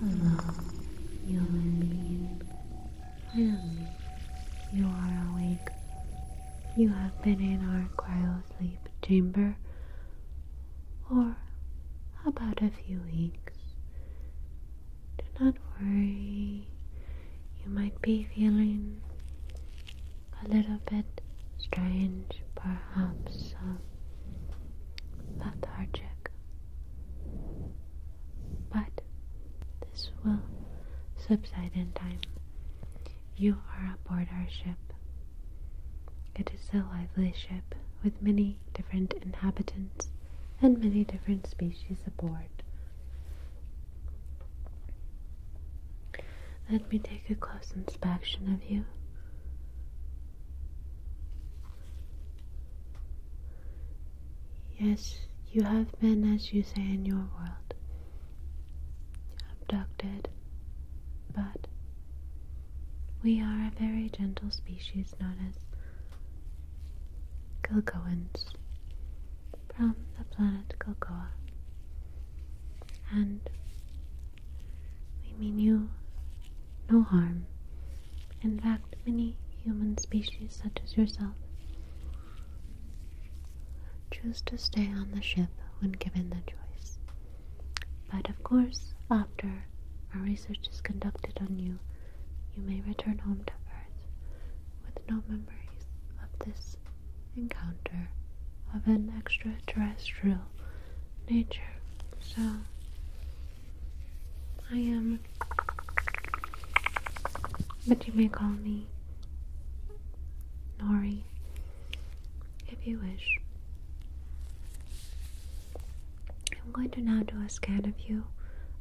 Hello, human being. Finally, you are awake. You have been in our quiet sleep chamber for about a few weeks. Do not worry, you might be feeling a little bit strange, perhaps lethargic. Um, but this will subside in time. You are aboard our ship. It is a lively ship with many different inhabitants and many different species aboard. Let me take a close inspection of you. Yes, you have been, as you say in your world, abducted, but we are a very gentle species known as Gilgoans from the planet Gilgoa. And we mean you no harm. In fact, many human species, such as yourself, choose to stay on the ship when given the choice. But of course, after our research is conducted on you, you may return home to Earth with no memories of this encounter of an extraterrestrial nature. So I am, but you may call me Nori if you wish. I'm going to now do a scan of you,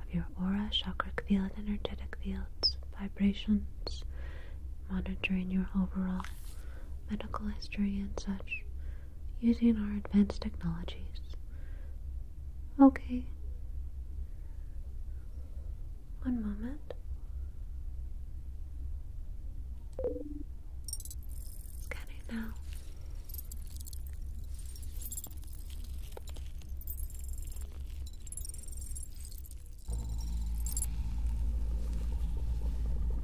of your aura, chakra field, energetic fields, vibrations, monitoring your overall medical history and such using our advanced technologies. Okay. One moment. Scanning now.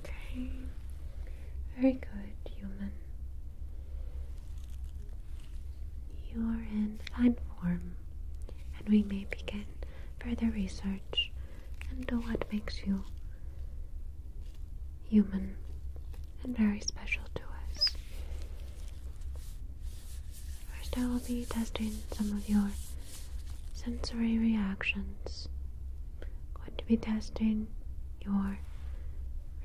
Okay. Very good, human. You are in fine form, and we may begin further research and know oh, what makes you human and very special to us. First, I will be testing some of your sensory reactions. I'm going to be testing your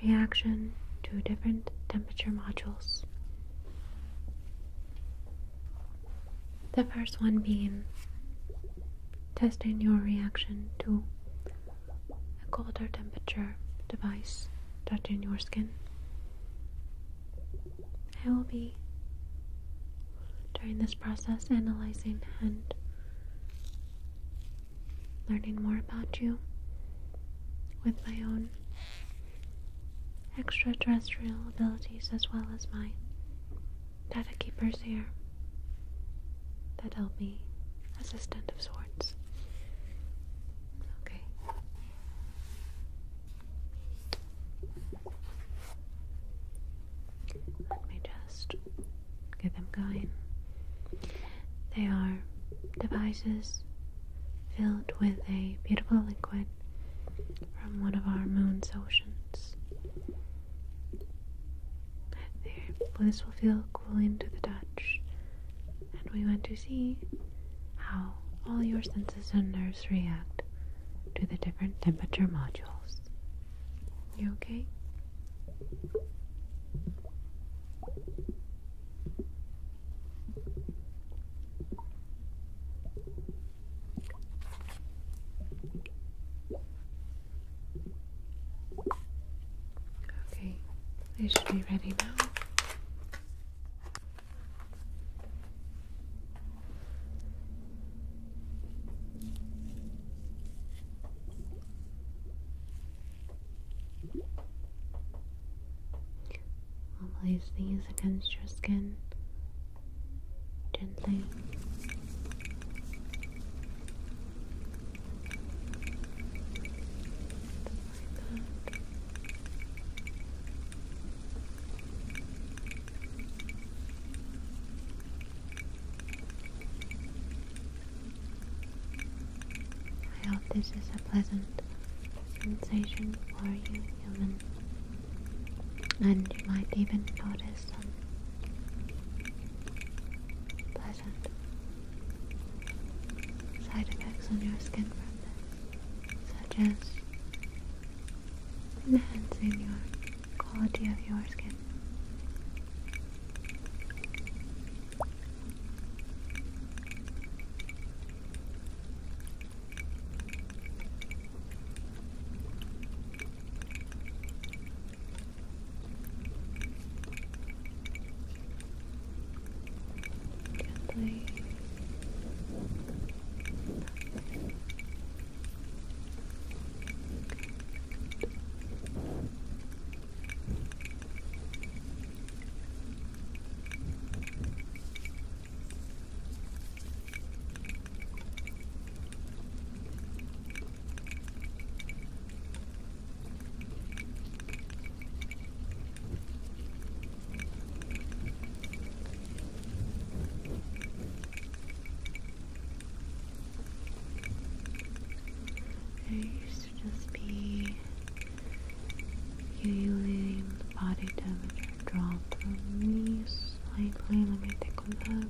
reaction to different temperature modules. The first one being testing your reaction to a colder temperature device touching your skin. I will be during this process analyzing and learning more about you with my own extraterrestrial abilities as well as my Data Keeper's here. That helped me. Assistant of sorts. Okay. Let me just get them going. They are devices filled with a beautiful liquid from one of our moon's oceans. This will feel cool to the touch, and we want to see how all your senses and nerves react to the different temperature modules. You okay? Okay, they should be ready now. I'll place these against your skin gently. I hope this is a pleasant sensation for you, human. And you might even notice some side effects on your skin from this, such as enhancing your quality of your skin. Gently. Good. There used to just be usually body temperature drop from these. Likely, let me take a look.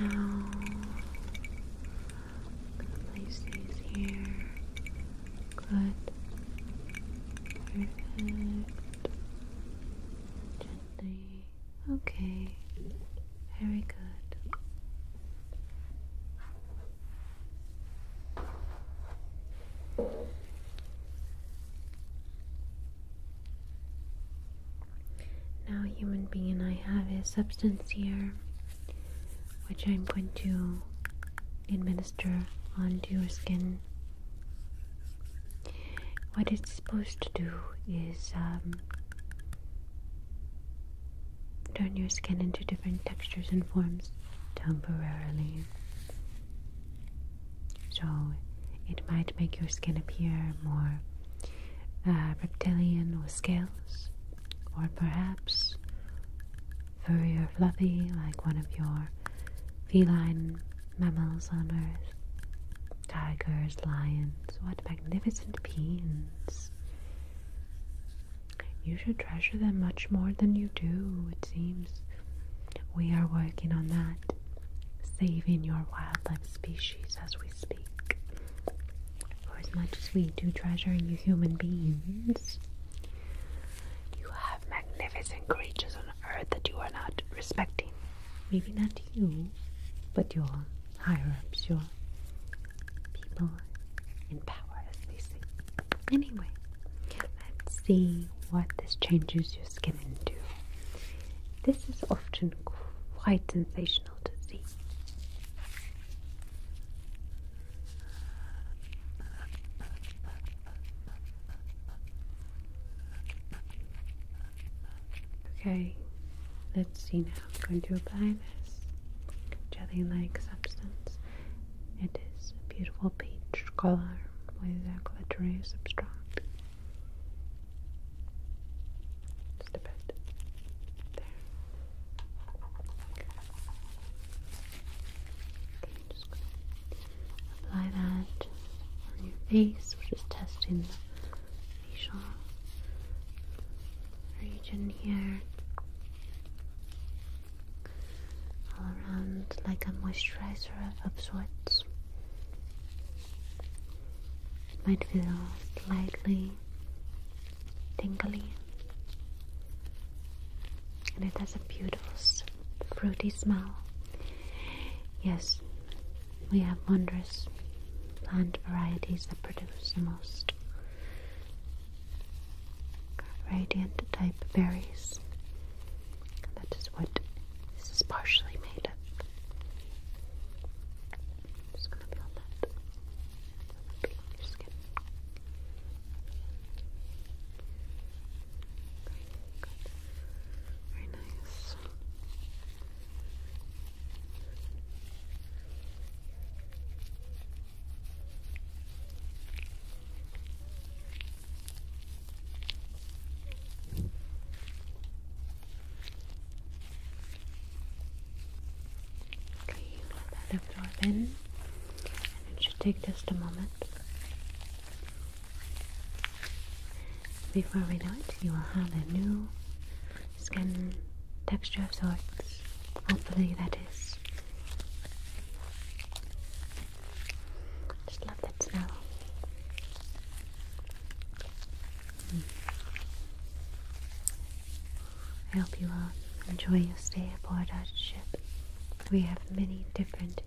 Now, place these here. Good. Perfect. Gently. Okay. Very good. Now, human being, I have a substance here which I'm going to administer onto your skin. What it's supposed to do is um, turn your skin into different textures and forms temporarily. So it might make your skin appear more uh, reptilian with scales, or perhaps furry or fluffy like one of your feline mammals on earth. Tigers, lions, what magnificent beings! You should treasure them much more than you do, it seems. We are working on that, saving your wildlife species as we speak. For as much as we do treasure you human beings, you have magnificent creatures on earth that you are not respecting. Maybe not you, but your higher ups, your people in power, as they say. Anyway, let's see what this changes your skin into. This is often quite sensational. Okay, let's see now. I'm going to apply this jelly like substance. It is a beautiful peach color with a glittery substrate. Just a bit. There. just going to apply that on your face. We're just testing the facial region here. All around like a moisturizer of sorts. It might feel slightly tingly. And it has a beautiful fruity smell. Yes, we have wondrous plant varieties that produce the most radiant type berries. That is what this is partially made of. I'm just gonna feel that feel your skin. Very nice. Okay, you let that absorb in, and it should take just a moment. Before we do it, you will have a new skin texture of sorts. Hopefully, that is. Just love that smell. Hmm. I hope you all enjoy your stay aboard our ship. We have many different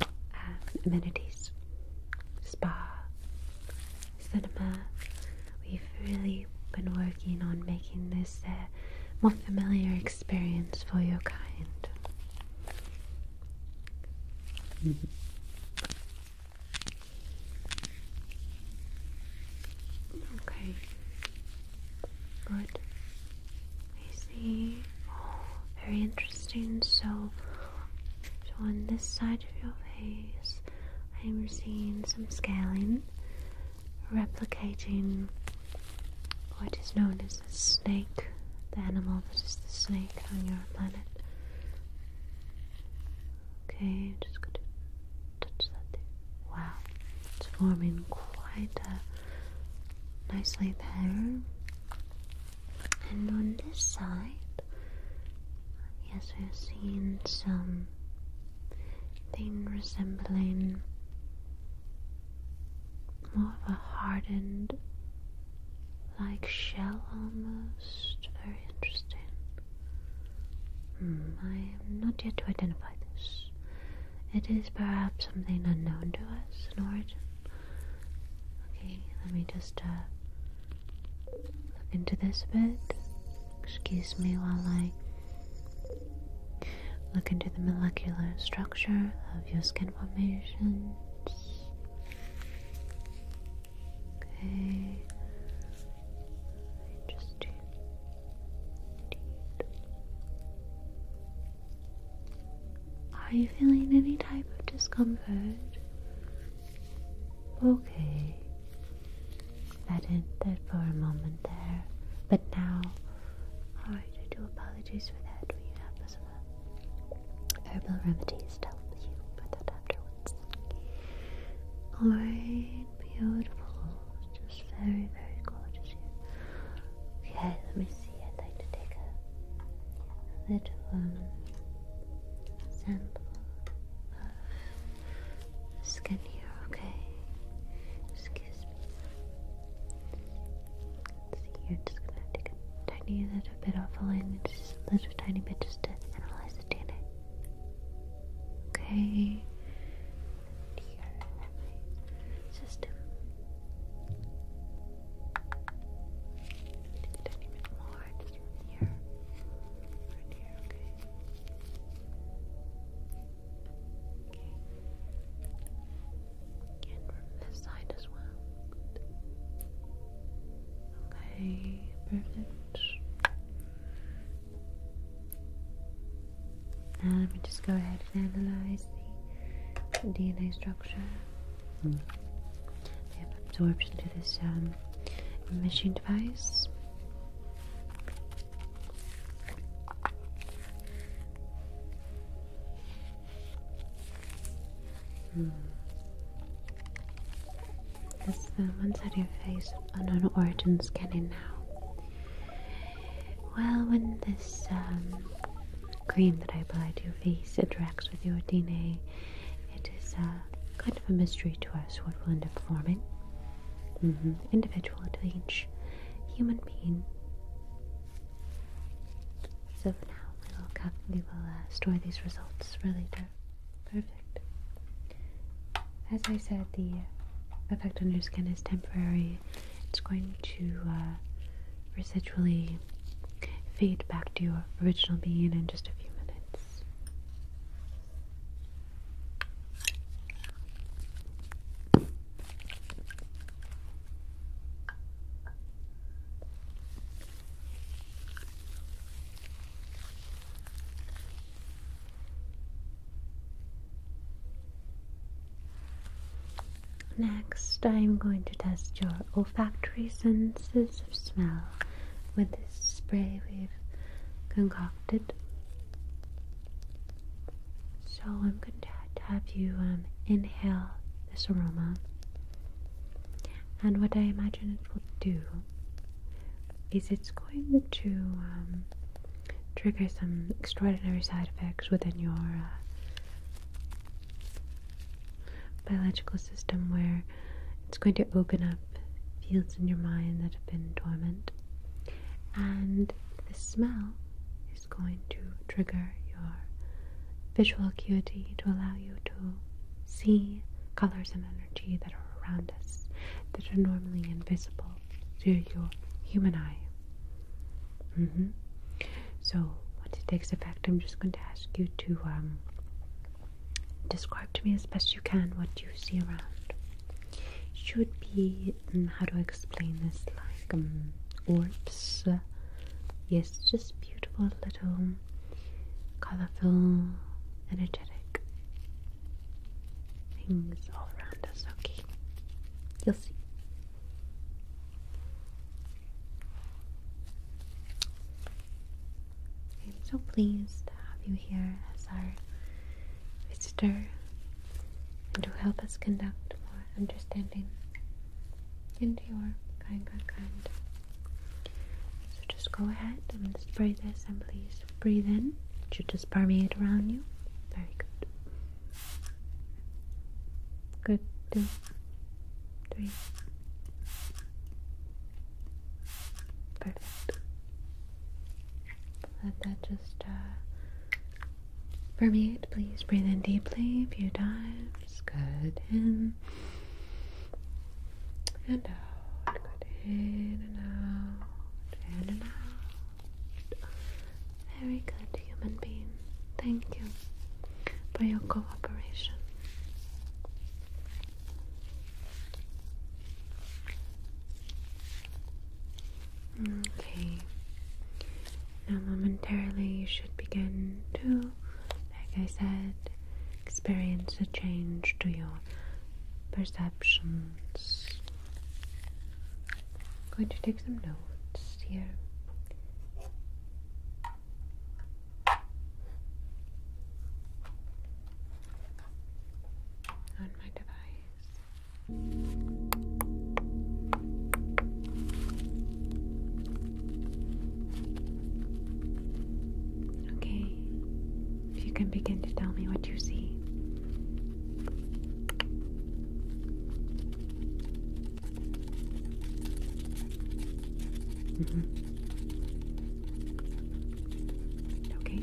um, amenities spa, cinema. We've really been working on making this a more familiar experience for your kind. Mm-hmm. Okay. Good. I see. Oh, very interesting. So, on this side of your face, I'm seeing some scaling, replicating what is known as the snake, the animal that is the snake on your planet. Okay, just going to touch that there. Wow, it's forming quite a nicely there, And on this side, yes, we're seeing some thing resembling more of a hardened like shell almost. Very interesting. Hmm, I am not yet to identify this. It is perhaps something unknown to us in origin. Okay, let me just uh, look into this a bit. Excuse me while I look into the molecular structure of your skin formations. Okay. Just are you feeling any type of discomfort? Okay. That ended for a moment there, but now, alright, I do apologize for that. We have some herbal remedies to help you with that afterwards. Alright fine, beautiful, just very, very gorgeous here. Okay, let me see. I'd like to take a, little um, sample of skin here. Okay, excuse me. see here. Just gonna take a tiny little bit off the line, just a little tiny bit, just to analyze the DNA. Okay. Here, my A little bit more, just here. Right here, okay. Okay. And from this side as well. Okay, perfect. Now let me just go ahead and analyze the DNA structure. They hmm. have absorbed into this um, machine device. Mm. This the uh, one side of your face unknown origin scanning now. Well, when this um, cream that I apply to your face interacts with your DNA, it is uh, kind of a mystery to us what will end up forming. Mm-hmm. Individual to each human being. So now, we will, uh, store these results for later. Perfect. As I said, the effect on your skin is temporary. It's going to uh, residually fade back to your original being in just a few minutes. Next, I am going to test your olfactory senses of smell with this spray we've concocted. So, I'm going to have you um, inhale this aroma, and what I imagine it will do is it's going to um, trigger some extraordinary side effects within your uh, biological system where it's going to open up fields in your mind that have been dormant and the smell is going to trigger your visual acuity to allow you to see colors and energy that are around us that are normally invisible visible to your human eye. Mm-hmm. So once it takes effect, I'm just going to ask you to um, describe to me as best you can what you see around. Should be mm, how do I explain this? Like um, orbs. yes, just beautiful little, colorful, energetic things all around us, okay? You'll see. I'm so pleased to have you here as our visitor and to help us conduct more understanding into your kind, kind, kind. So just go ahead and spray this and please breathe in. should just permeate around you. Very good. Good. Two, three. Perfect. Let that just uh, permeate. Please breathe in deeply a few times. Good. In and out. Good. In and out. In and out. Very good human being. Thank you for your cooperation. Okay. Now, momentarily, you should begin to, like I said, experience a change to your perceptions. I'm going to take some notes here. On my device. Okay, if you can begin to tell me what you see. Mm-hmm. Okay.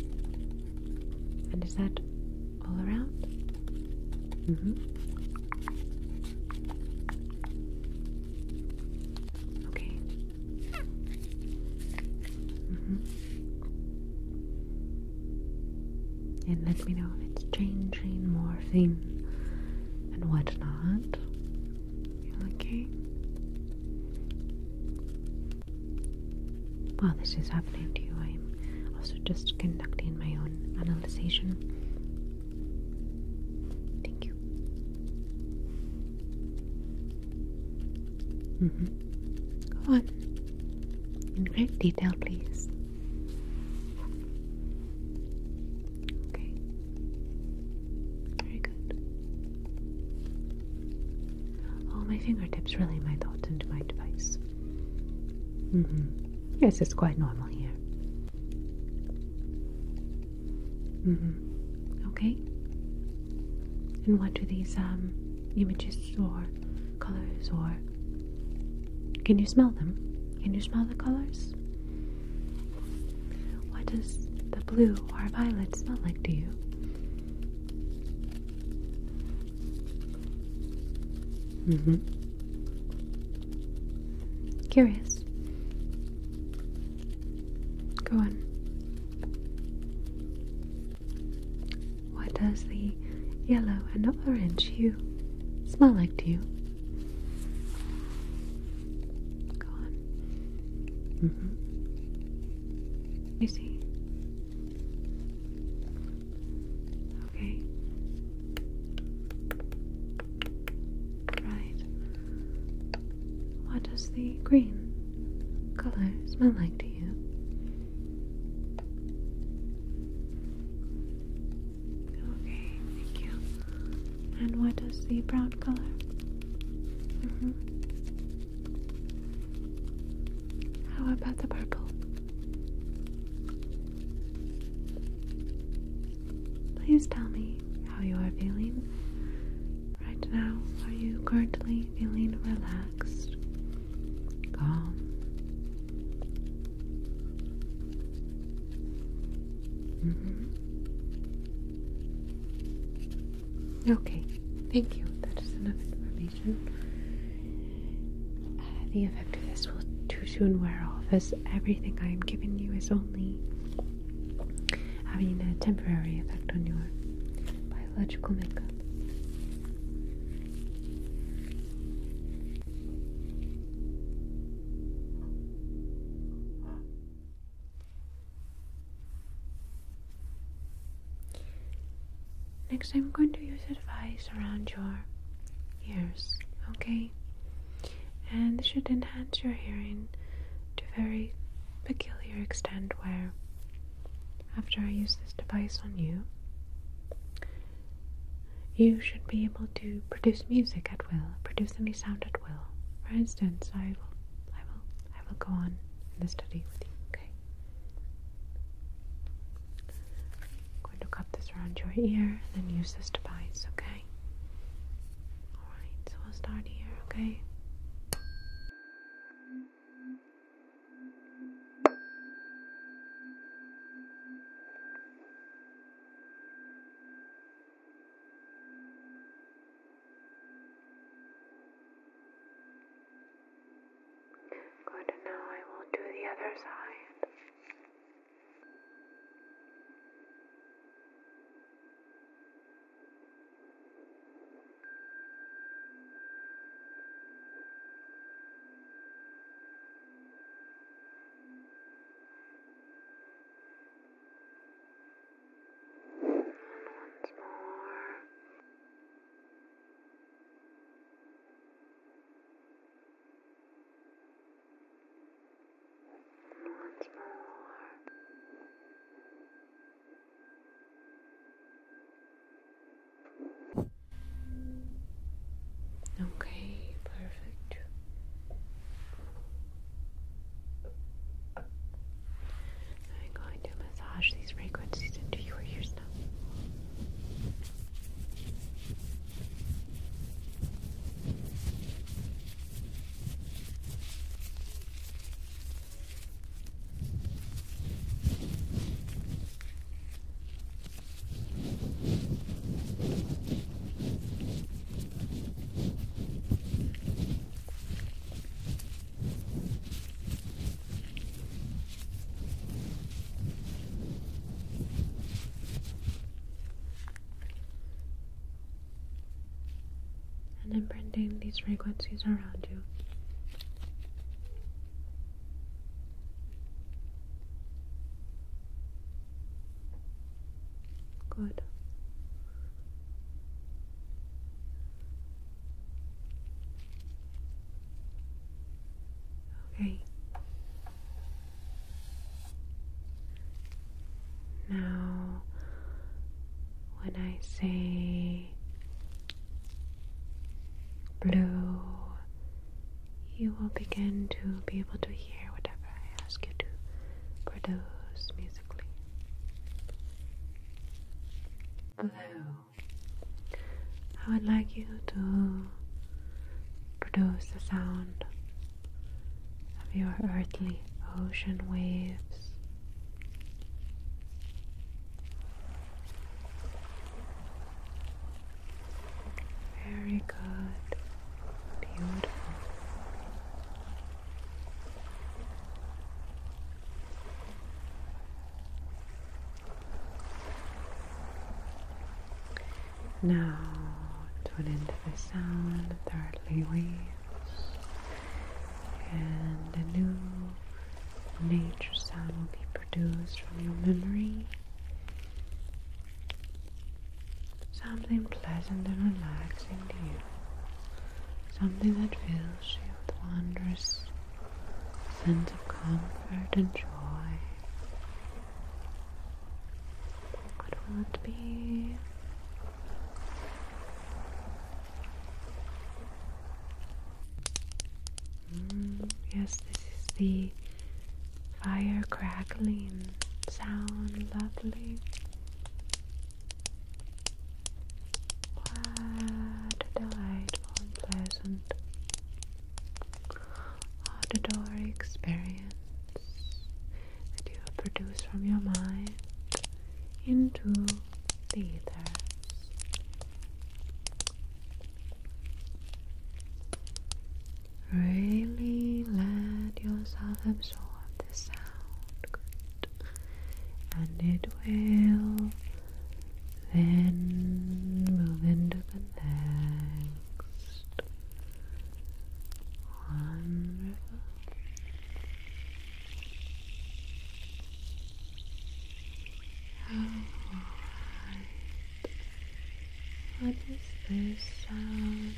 And is that all around? Mm-hmm. Okay. Mm-hmm. And let me know if it's changing, morphing, and whatnot. Okay. While this is happening to you, I am also just conducting my own analysis. Thank you. Mm on in great detail, please. Okay. Very good. Oh, my fingertips really, my thoughts and my device. Mm hmm. Yes, it's quite normal here. Mm hmm. Okay. And what do these, um, images or colors or can you smell them? Can you smell the colors? What does the blue or violet smell like to you? Mm-hmm. Curious. Go on. What does the yellow and orange hue smell like to you? Go on. Mm-hmm. You see? Okay. Right. What does the green color smell like to you? Okay, thank you. And what is the brown color? Mm-hmm. How about the purple? Please tell me how you are feeling right now. Are you currently feeling relaxed, calm, Mm -hmm. Okay, thank you. That is enough information. Uh, the effect of this will too soon wear off, as everything I am giving you is only having a temporary effect on your biological makeup. Next, I'm going to use a device around your ears, okay? And this should enhance your hearing to a very peculiar extent where, after I use this device on you, you should be able to produce music at will, produce any sound at will. For instance, I will I will I will go on in the study with you, okay? I'm going to cut this around your ear and then use this device, okay? Alright, so we'll start here, okay? Good, and now I will do the other side. Once more. Once more. Okay, perfect. I'm going to massage these frequencies into your ears now. And imprinting these frequencies around you Good. Okay. Now, when I say blue you will begin to be able to hear whatever I ask you to produce musically. Hello. I would like you to produce the sound of your earthly ocean waves. Very good. Beautiful. Now to an end of the earthly waves and a new nature sound will be produced from your memory Something pleasant and relaxing to you. Something that fills you with wondrous sense of comfort and joy. What will it be? Mm, yes, this is the fire crackling sound, lovely. What delightful and pleasant auditory experience that you have from your mind into the ether. Really let yourself absorb the sound. And it will then move into the next. Wonderful. Alright. What is this sound?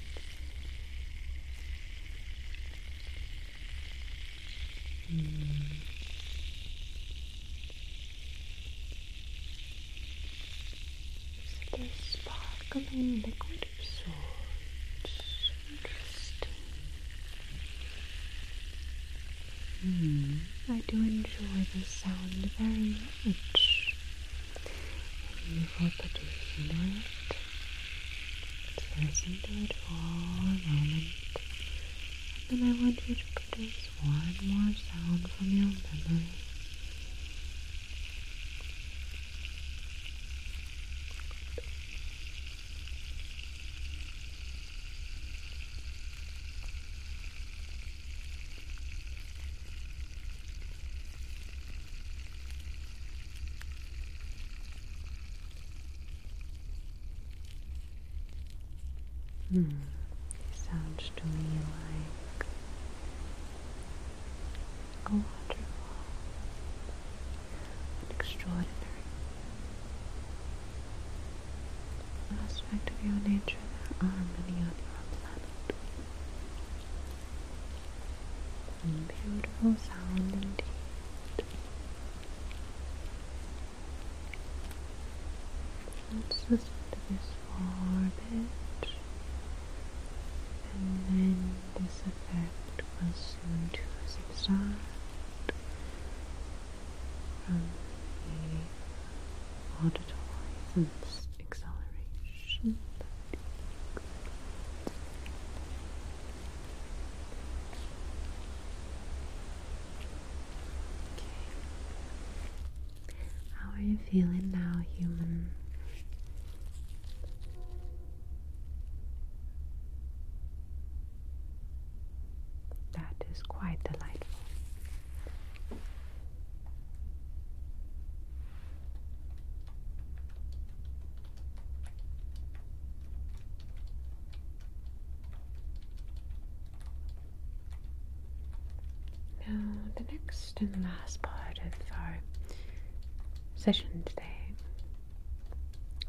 Hmm. Is it a liquid of Interesting. Hmm. I do enjoy the sound very much. And you for producing it. Let's listen to it for a moment. And then I want you to produce one more sound from your memory. Hmm. Sounds to me like a wonderful, An extraordinary aspect of your nature there are many on your planet. Beautiful sound indeed. Let's listen to this for a bit, and then this effect was soon to subside from the auditory system acceleration. Okay. How are you feeling now, human? That is quite delightful. Now, the next and last part of our session today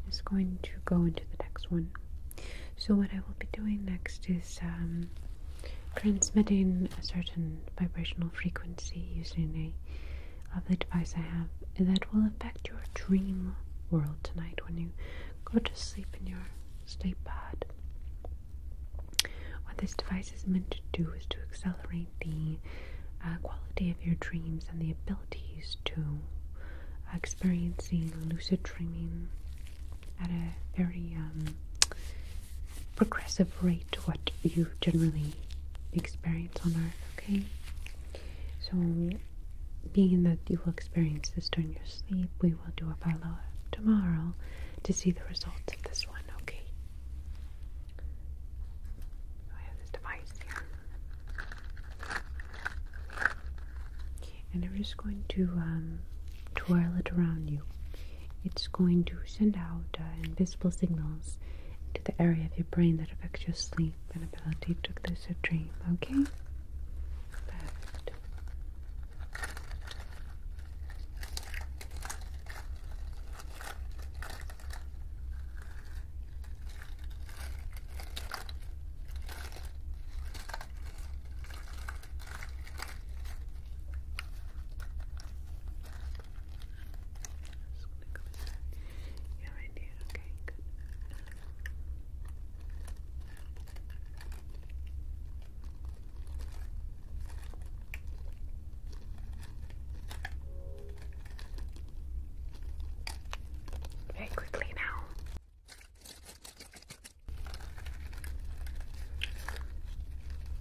is going to go into the next one. So, what I will be doing next is um, transmitting a certain vibrational frequency using a lovely device I have that will affect your dream world tonight when you go to sleep in your sleep pod. What this device is meant to do is to accelerate the uh, quality of your dreams and the abilities to experiencing lucid dreaming at a very um, progressive rate to what you generally experience on Earth, okay? So, being that you will experience this during your sleep, we will do a follow up tomorrow to see the results of this one, okay? I have this device here. And I'm just going to um, twirl it around you. It's going to send out uh, invisible signals to the area of your brain that affects your sleep and ability to lucid dream. Okay? just going Yeah, right there. Okay, good. Very quickly now.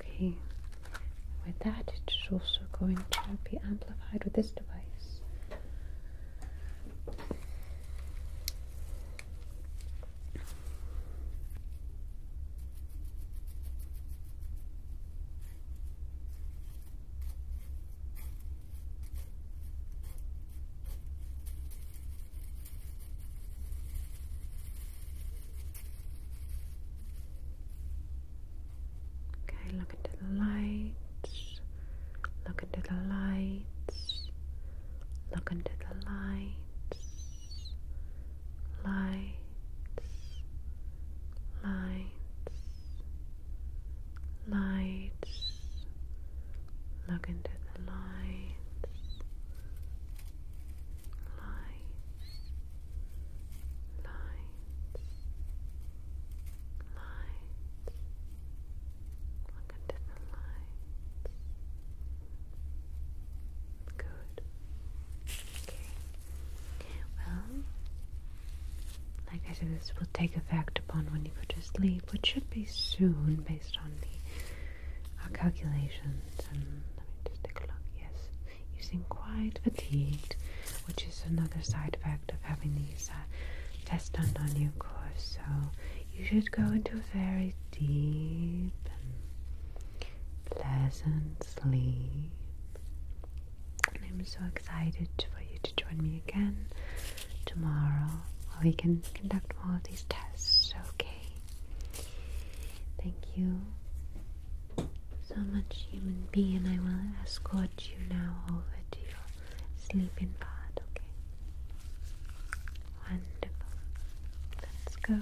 Okay, with that, it is also going to be amplified with this device. Okay, look into the lights. Look into the lights. Look into the lights. Lights. Lights. Lights. Look into the lights. Lights. Lights. Lights. Look into the lights. Good. Okay. Well, like I said, this will take effect upon when you go to sleep, which should be soon based on the our calculations. And let me just take a look. Yes you seem quite fatigued, which is another side effect of having these uh, tests done on you, of course. So you should go into a very deep and pleasant sleep. I'm so excited for you to join me again tomorrow where we can conduct all of these tests, okay? Thank you so much human being, I will escort you now over to your sleeping pod, okay? Wonderful. Let's go.